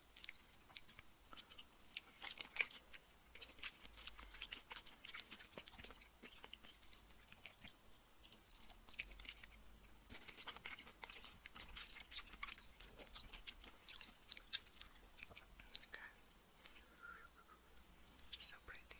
Okay. So pretty.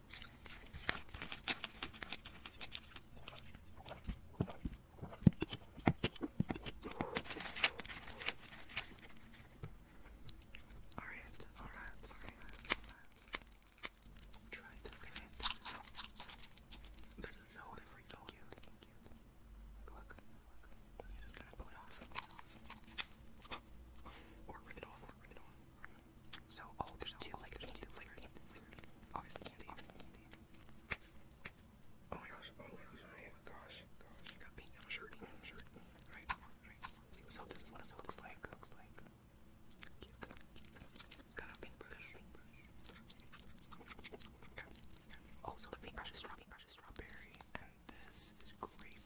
Alright, alright, alright. Try this This is so very cute. Look, look. You just gotta pull it off, or rip it off. So, oh, there's so, two, like, there's two flavors. Obviously, candy. Obviously, candy. Oh my gosh, oh my gosh, oh my gosh, gosh. I got pink on a shirt, on a shirt. Right, right. So, this is what it looks like. Looks like. Cute. Got a pink brush. Pink brush. Okay. Oh, so the pink brush is strawberry, brush is strawberry, and this is grape.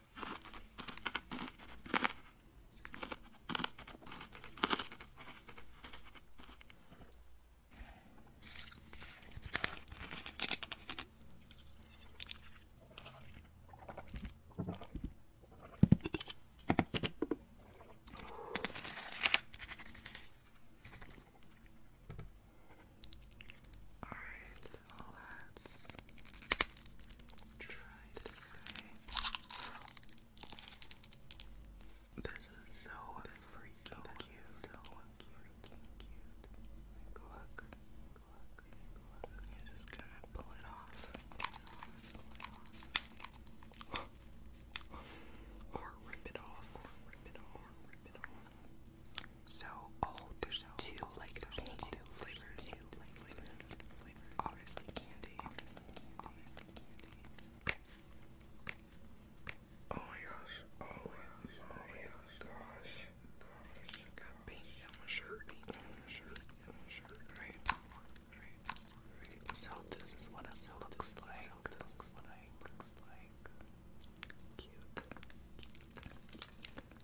All right, so let's Try this way. This is so freaking cute. look. Look. Look. You're just gonna pull it off. or rip it off. Or rip it off. So, oh, there's two like there's flavors. Obviously candy. Oh my gosh. Oh, my gosh. Oh my gosh. Got paint on my shirt. Right. So this is what a looks like. looks like. Cute.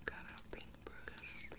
Got a paintbrush. Got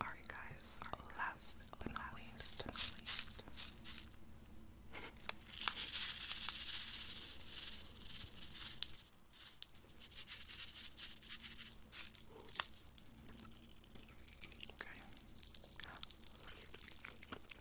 Alright, guys, last but not least. Okay.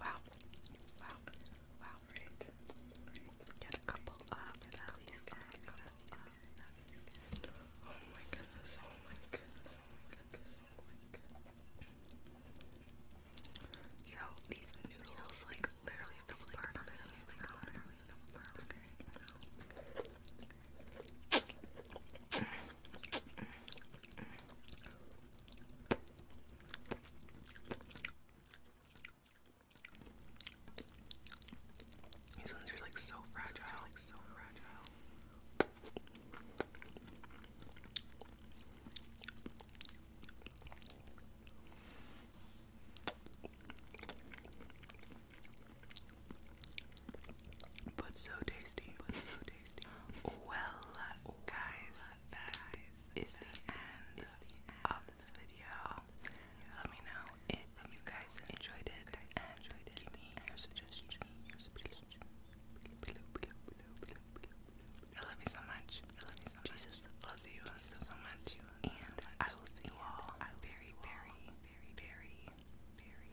Wow. Wow. Wow. Get a couple up and at Oh my goodness, oh my goodness, oh my goodness, oh my goodness. So these noodles like literally fell apart on it. These ones are like so fragile, like so fragile. But so tasty, but so tasty. Well, guys, that is the end of this video. Let me know if you guys enjoyed it and give me your suggestions. love you so much. I love you so so, much. And I will see you all very, very, very, very, very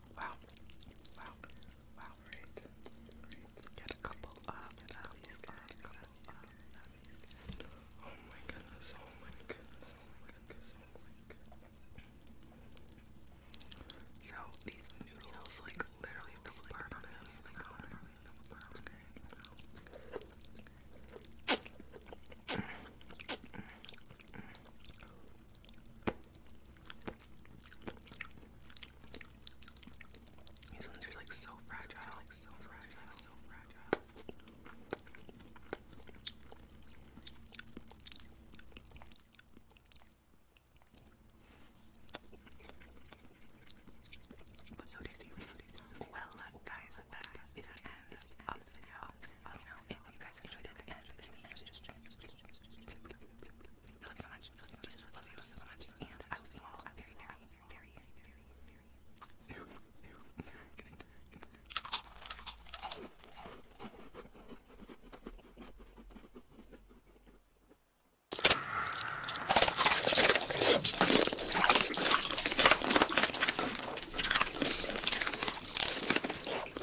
Wow. Wow. Wow. Great. Great. Get a couple up. Get a couple up. Get Oh my goodness. Oh my goodness. Oh my goodness. Oh my goodness. So these noodles like literally fell apart on us. These ones are like so fragile, like so fragile, so fragile. well, guys, that is the end of the video. You know, if you guys enjoyed it, I love you so much. Jesus loves you so much. And I will see you all very, very, very, very, very soon. Good night.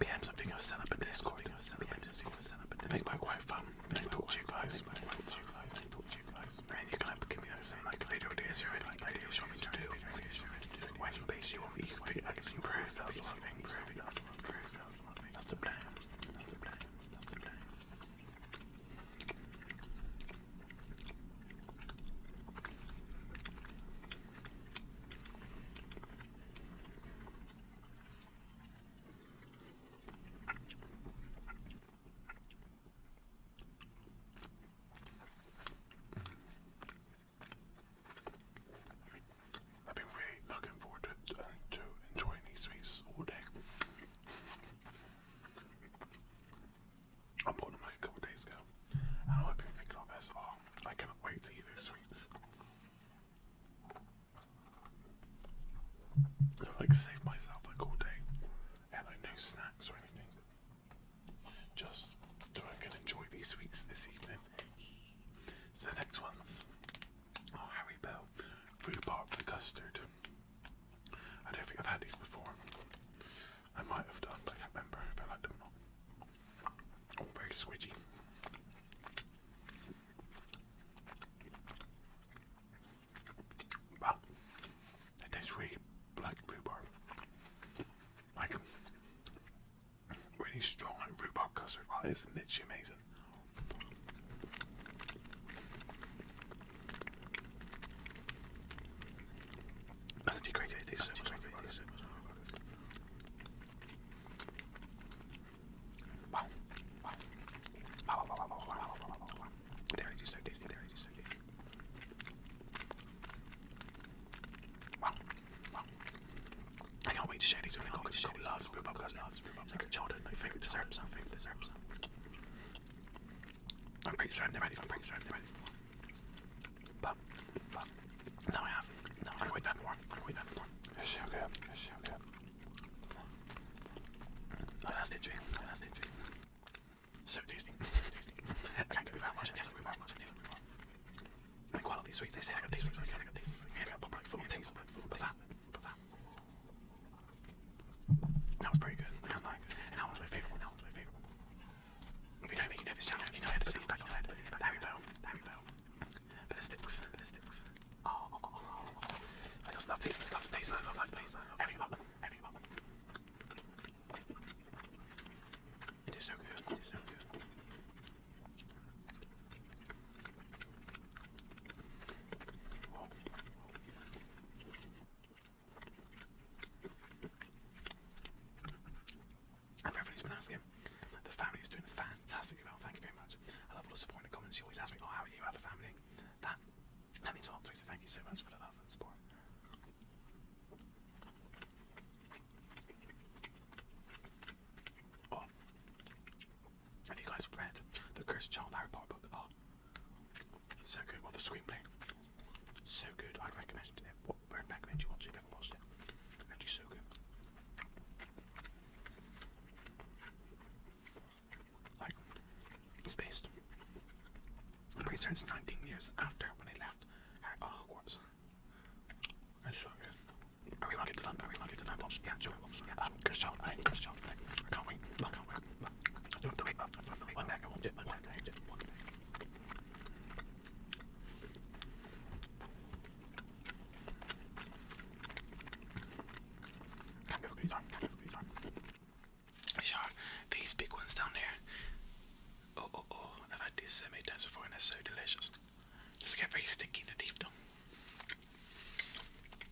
Yum something I'll set up in Discord. Make my wife um. talk to you guys. Make my wife talk Talk to you guys. am improving. That's what I've been really looking forward to, uh, to enjoying these sweets all day. I bought them like a couple days ago, and all I've been thinking of is, oh, I cannot wait to eat those sweets. If i can save myself like all day, and like no snacks or anything, just so I can enjoy these sweets this evening. the next ones are Harry Bell rhubarb the custard. I don't think I've had these before. I might have done, but I can't remember if I liked them or not. Oh, very squidgy. But it tastes really like rhubarb. Like really strong like rhubarb custard. Oh, it's literally amazing. That's great. This is great. This is Wow. Wow. Wow, wow, wow, wow, wow, wow, wow, wow. There it is, so tasty, there it is, so tasty. Wow, wow. I can't wait to share these with the cocktail. She loves blue bubblegum, loves blue bubblegum. It's like a childhood, my favorite dessert, my favorite dessert. I'm pretty sure I've never I'm pretty sure I've never had it before. But, but, now I have. Now I quit that more. I quit that more. It's so It's so good. Oh, that's it, Jane. Oh, that's it, So tasty. So tasty. I can't go without I can't go without I can't go without much. quality sweet. They say I got tasty. I got I got tasty. I got full taste. But that, but that was pretty good. that one's my favorite That one's my favorite If you know me, you know this channel. If you know how to put these back in your head, there we go. There we go. Ballistics. Ballistics. Oh. I just love these. I love these. I love like these. Everything about them. It is so good. It is so good. And for everybody's been asking, the family is doing fantastically well. Thank you very much. I love all the support comments. You always ask me, "Oh, how are you? How the family?" That that means a lot to me. So thank you so much for the love and support. Oh, have you guys read the Cursed Child Harry Potter book? Oh, it's so good. What the screenplay? So good. I'd recommend it. What i recommend you watch it you have watched it. It's so good. Like it's based. I'm pretty 19 years after when they left oh, Hogwarts. That's so good. Are we lucky to London? Are we lucky to London? Yeah, Joey Wilson. Yeah, um, good shout. I, good shout. I can't wait. I can't wait. Don't have to wait up. Don't have to wait one back. I won't do it. One back. I won't do it. One back. Kind of these are, kind of these are. These are these big ones down there. Oh, oh, oh. I've had these so many times before and they're so delicious. Just get very sticky in the teeth though.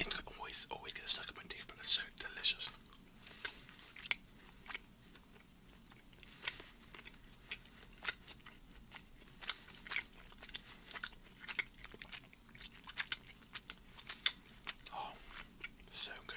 It always, always oh, gets stuck in my teeth, but it's so delicious. Oh, so good.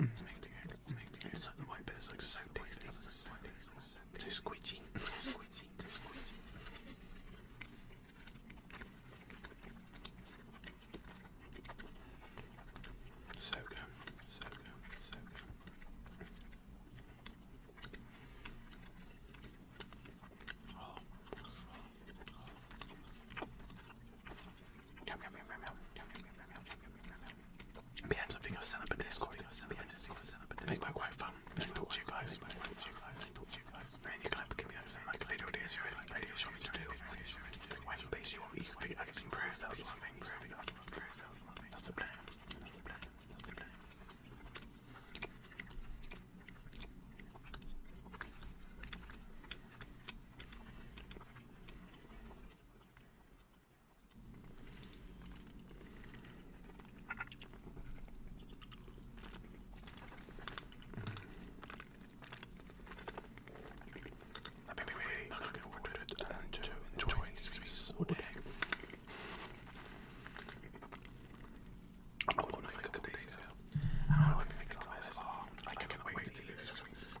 It's like the white bit is like so tasty, so squidgy. So good, so good, so good. Oh. Oh. But yeah, I'm something I'll set up a Discord. Make my wife fun. Talk to you guys. Talk to you guys. And you can have give me access. Like video ideas you really radio show me to do. When base you want me, I can improve. That's what I mean. That's the plan. That's the plan. That's the plan. I've been really looking forward to it and to enjoying this piece to make a couple days I hope you think like this. Oh, I can't wait to eat these wings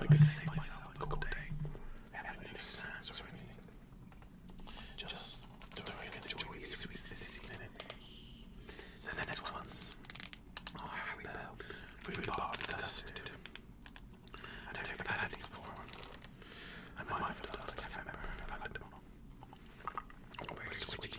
like save myself a day and have no sense or anything. Just to really enjoy these sweet season. The next ones are Harry Bell, rhubarb custard. I don't think i had these before. I might have done, I can't remember I've them or Very sweet.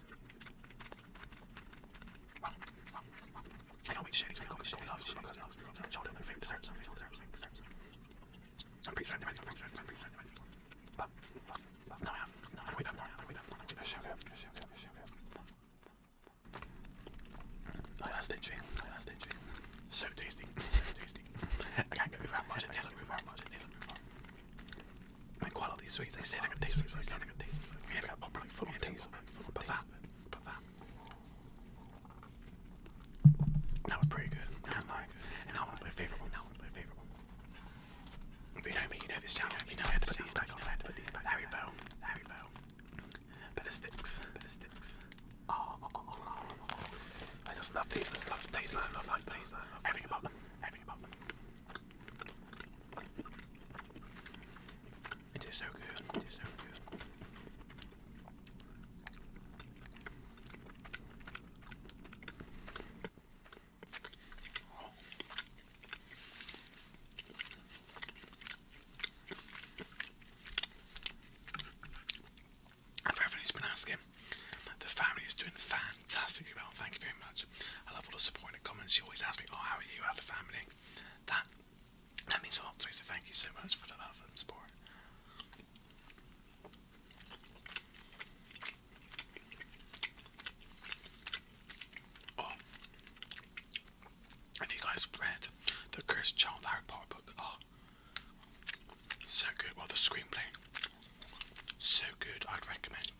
I don't eat shitty sweet cookies, cookies, cookies, cookies, cookies, cookies, cookies, all the other favorite desserts, some favorite desserts, favorite desserts. I'm pretty certain they're ready, I'm pretty certain, I'm pretty certain they're ready. But, but, no I haven't, no I don't eat them, no I don't eat them, I don't eat them, sugar, sugar, sugar. Like that's stingy, like that's stingy. So tasty, so tasty. I can't go over how much it tastes, I can't go over how much it tastes. Like all of these sweets, they say they're gonna taste sweets, like they're gonna taste sweets. We have got probably full on taste of it, but that, but that. That was pretty good. That was mine. And that one's my favorite one. That one's my favorite one. If you know me, you know this channel. You know I had to put these back on. I had to put these back. Harry Bell. Harry Bell. Better sticks. Better sticks. Oh, oh, oh, oh. I just love these. I just love the taste. I love the taste. Everything about them. Everything about them. It is so good. It so good. has been asking, the family is doing fantastically well. Thank you very much. I love all the support comments. You always ask me, "Oh, how are you? How the family?" That that means a lot to me, so thank you so much for the love and support. Oh, have you guys read the Cursed Child Harry Potter book? Oh, so good. Well, the screenplay, so good. I'd recommend it.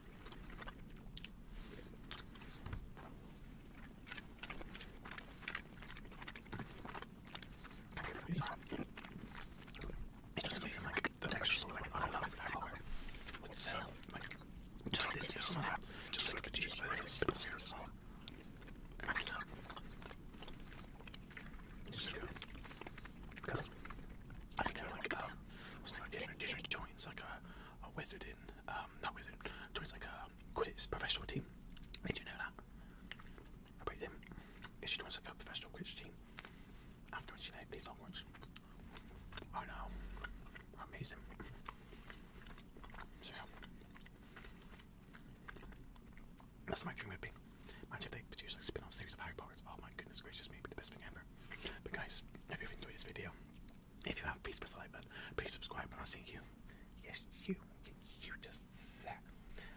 It just makes like the texture so I love it. I love it. With so, like, just like this, just like just like a cheese plate, it's so serious. I can't. Just go because I know like um, joins like a, wizard in um, not wizard joins like a Quidditch professional team. Did you know that? About him, if she joins a professional Quidditch team, after she like plays Hogwarts. I oh, know, amazing. So That's my dream would be. Imagine if they produce like spin-off series of Harry Potter. Oh my goodness gracious, maybe the best thing ever. But guys, I hope you've enjoyed this video. If you have, please press like button, please subscribe, and I'll see you. Yes, you, you just that.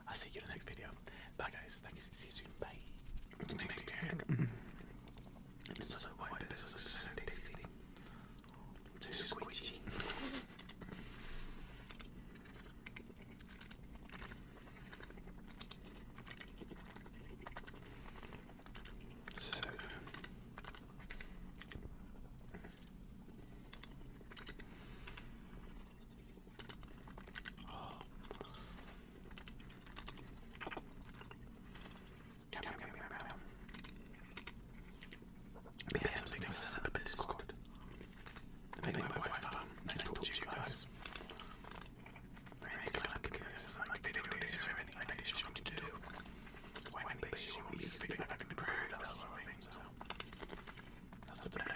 I'll see you in the next video. Bye, guys. Thank you. See you soon. Bye. So Oh. Yum, yum, yum, yum, yum, yum. Yeah, yeah, something else is in the Discord. I think my wife um, I told you guys. Very glad because I like video days or any ideas you want to do. Why my base you want me to figure out the prayer that sort of thing, so that's the plan.